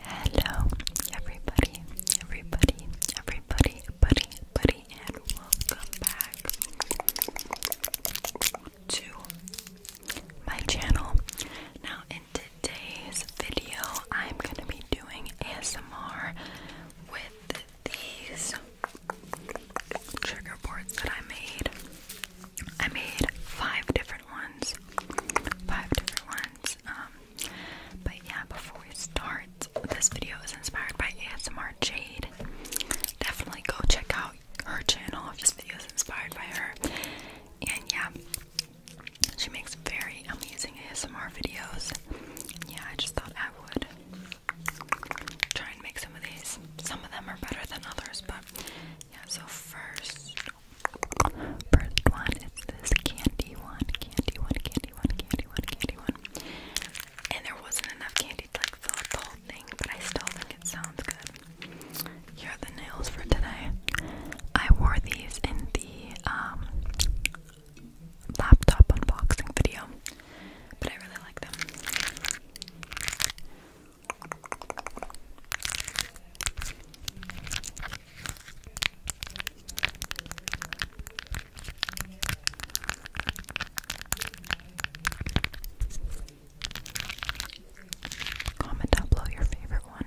Hello, everybody, everybody, everybody, buddy, and welcome back to my channel. Now, in today's video, I'm gonna be doing ASMR with these trigger boards that I made. I made five different ones, five different ones. Um, but yeah, before we start, this video is inspired by ASMR Jade. Definitely go check out her channel this video is inspired by her. And yeah, she makes very amazing ASMR videos. Yeah, I just thought I would try and make some of these. Some of them are better than others, but yeah, so first First one is this candy one, candy one, candy one, candy one, candy one. And there wasn't enough candy to fill up the whole thing, but I still think it sounds good. Here are the nails for today. I wore these in the um, laptop unboxing video, but I really like them. Comment down below your favorite one.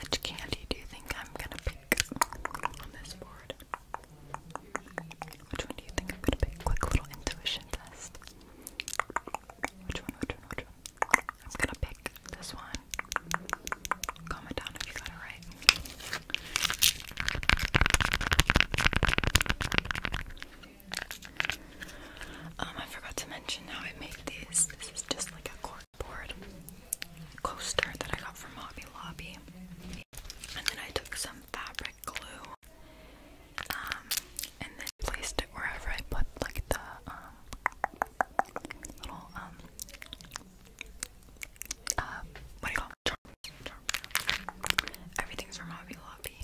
Which candy do you think I'm gonna pick on this board? Which one do you think I'm gonna pick? Quick little intuition test. Which one, which one, which one? I'm gonna pick this one. Comment down if you got it right. Um, I forgot to mention how I made these. This is just like a corkboard coaster that I got from Hobby Lobby. And then I took some fabric glue um, and then placed it wherever I put like the um, little um, uh, what do you call Everything's from Hobby Lobby.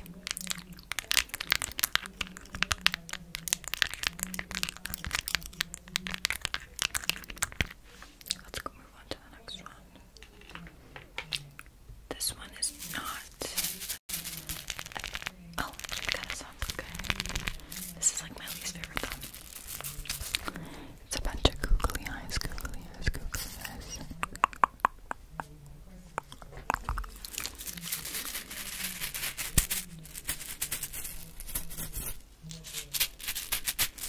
Let's go move on to the next one. This one is not. Oh, it kind of sounds good. This is like my least favorite thumb. It's a bunch of googly eyes, googly eyes, googly eyes.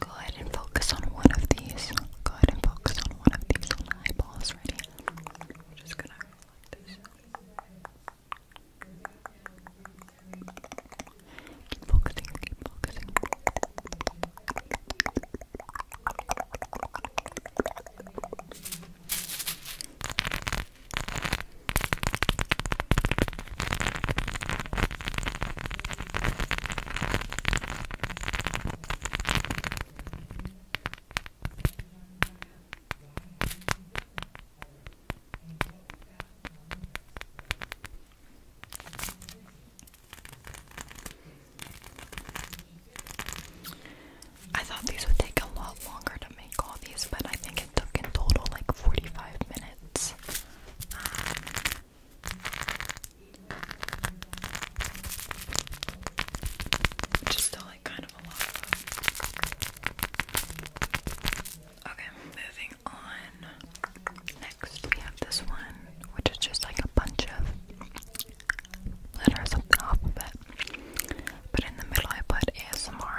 Go ahead and focus on one of these. Go ahead and focus on one of these on eyeballs right here. I'm just gonna like this. Keep focusing, keep focusing. I thought these would take a lot longer to make all these, but I think it took in total like 45 minutes. Which like kind of a lot. okay, moving on we have this one, which is just like a bunch of letters of alphabet, but in the middle I put ASMR.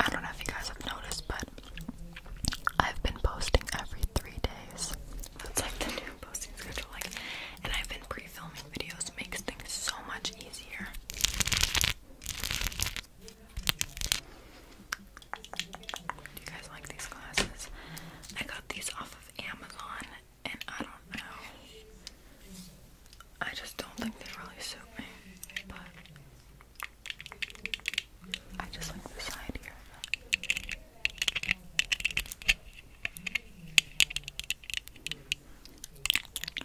I don't know if you guys have noticed, but I've been posting every three days. That's like the new posting schedule, like, and I've been pre-filming videos. makes things so much easier. Do you guys like these glasses? I got these off of Amazon, and I don't know. I just don't think they really suit me, but I just like the side here.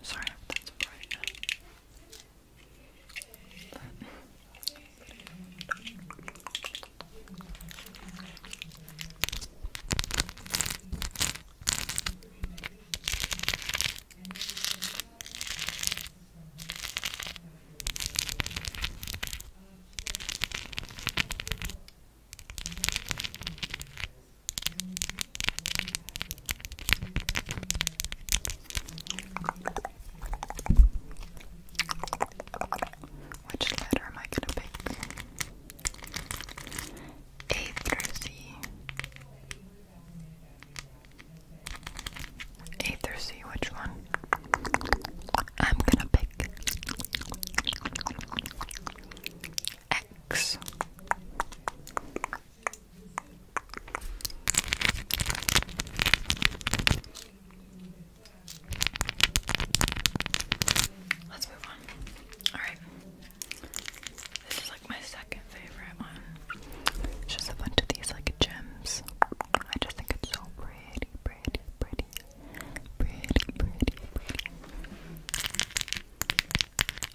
Sorry that's bright. Which letter am I going to pick? A through Z. A through C, which one? I'm gonna pick X. Let's move on. Alright. This is like my second favorite one. It's just a bunch of these like gems. I just think it's so pretty, pretty, pretty, pretty, pretty, pretty.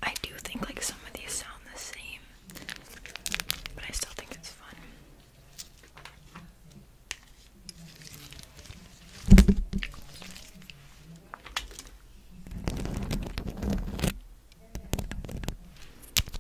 I do think like some of these sound the same, but I still think it's fun.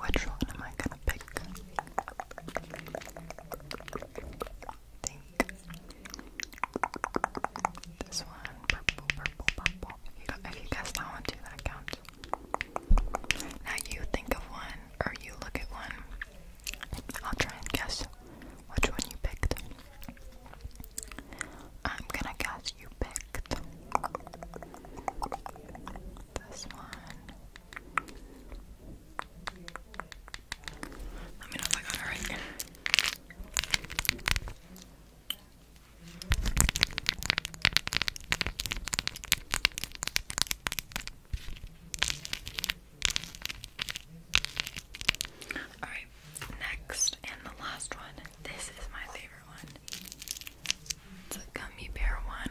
Which one am I gonna pick? think this one, purple, purple, purple. If you, if that one too, that counts. Now you think of one, or you look at one. I'll try and guess which one you picked. I'm gonna guess you picked this one. Let me know if I got it right. Alright, next and the last one. This is my favorite one. It's a gummy bear one.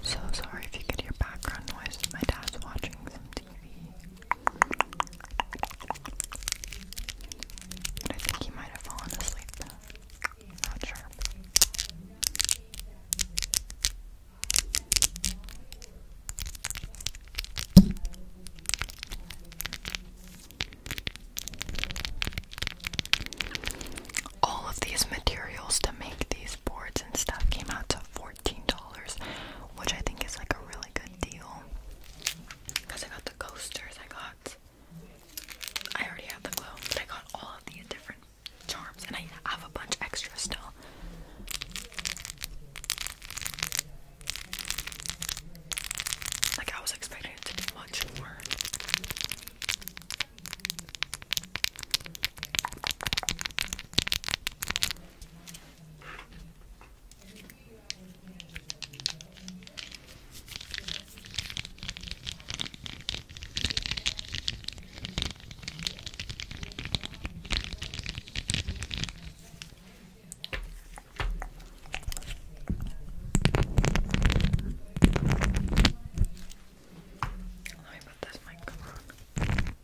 So sorry if you get your background noise. My dad's watching some TV. I think he might have fallen asleep. Not sure. All of these materials to make these boards and stuff came out to $14 $14, which I think is like a really good deal. Because I got the coasters, I got. I already have the glow, but I got all of the different charms, and I have a bunch extra still. Like, I was expecting it to be much more. Let me put this mic on.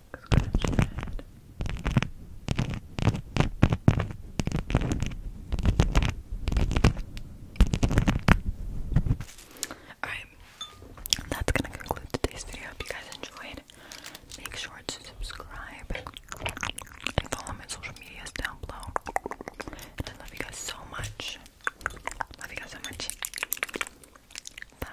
scratch your Alright, that's gonna conclude today's video. If you guys enjoyed, make sure to subscribe and follow my social medias down below. And I love you guys so much. Love you guys so much. Bye.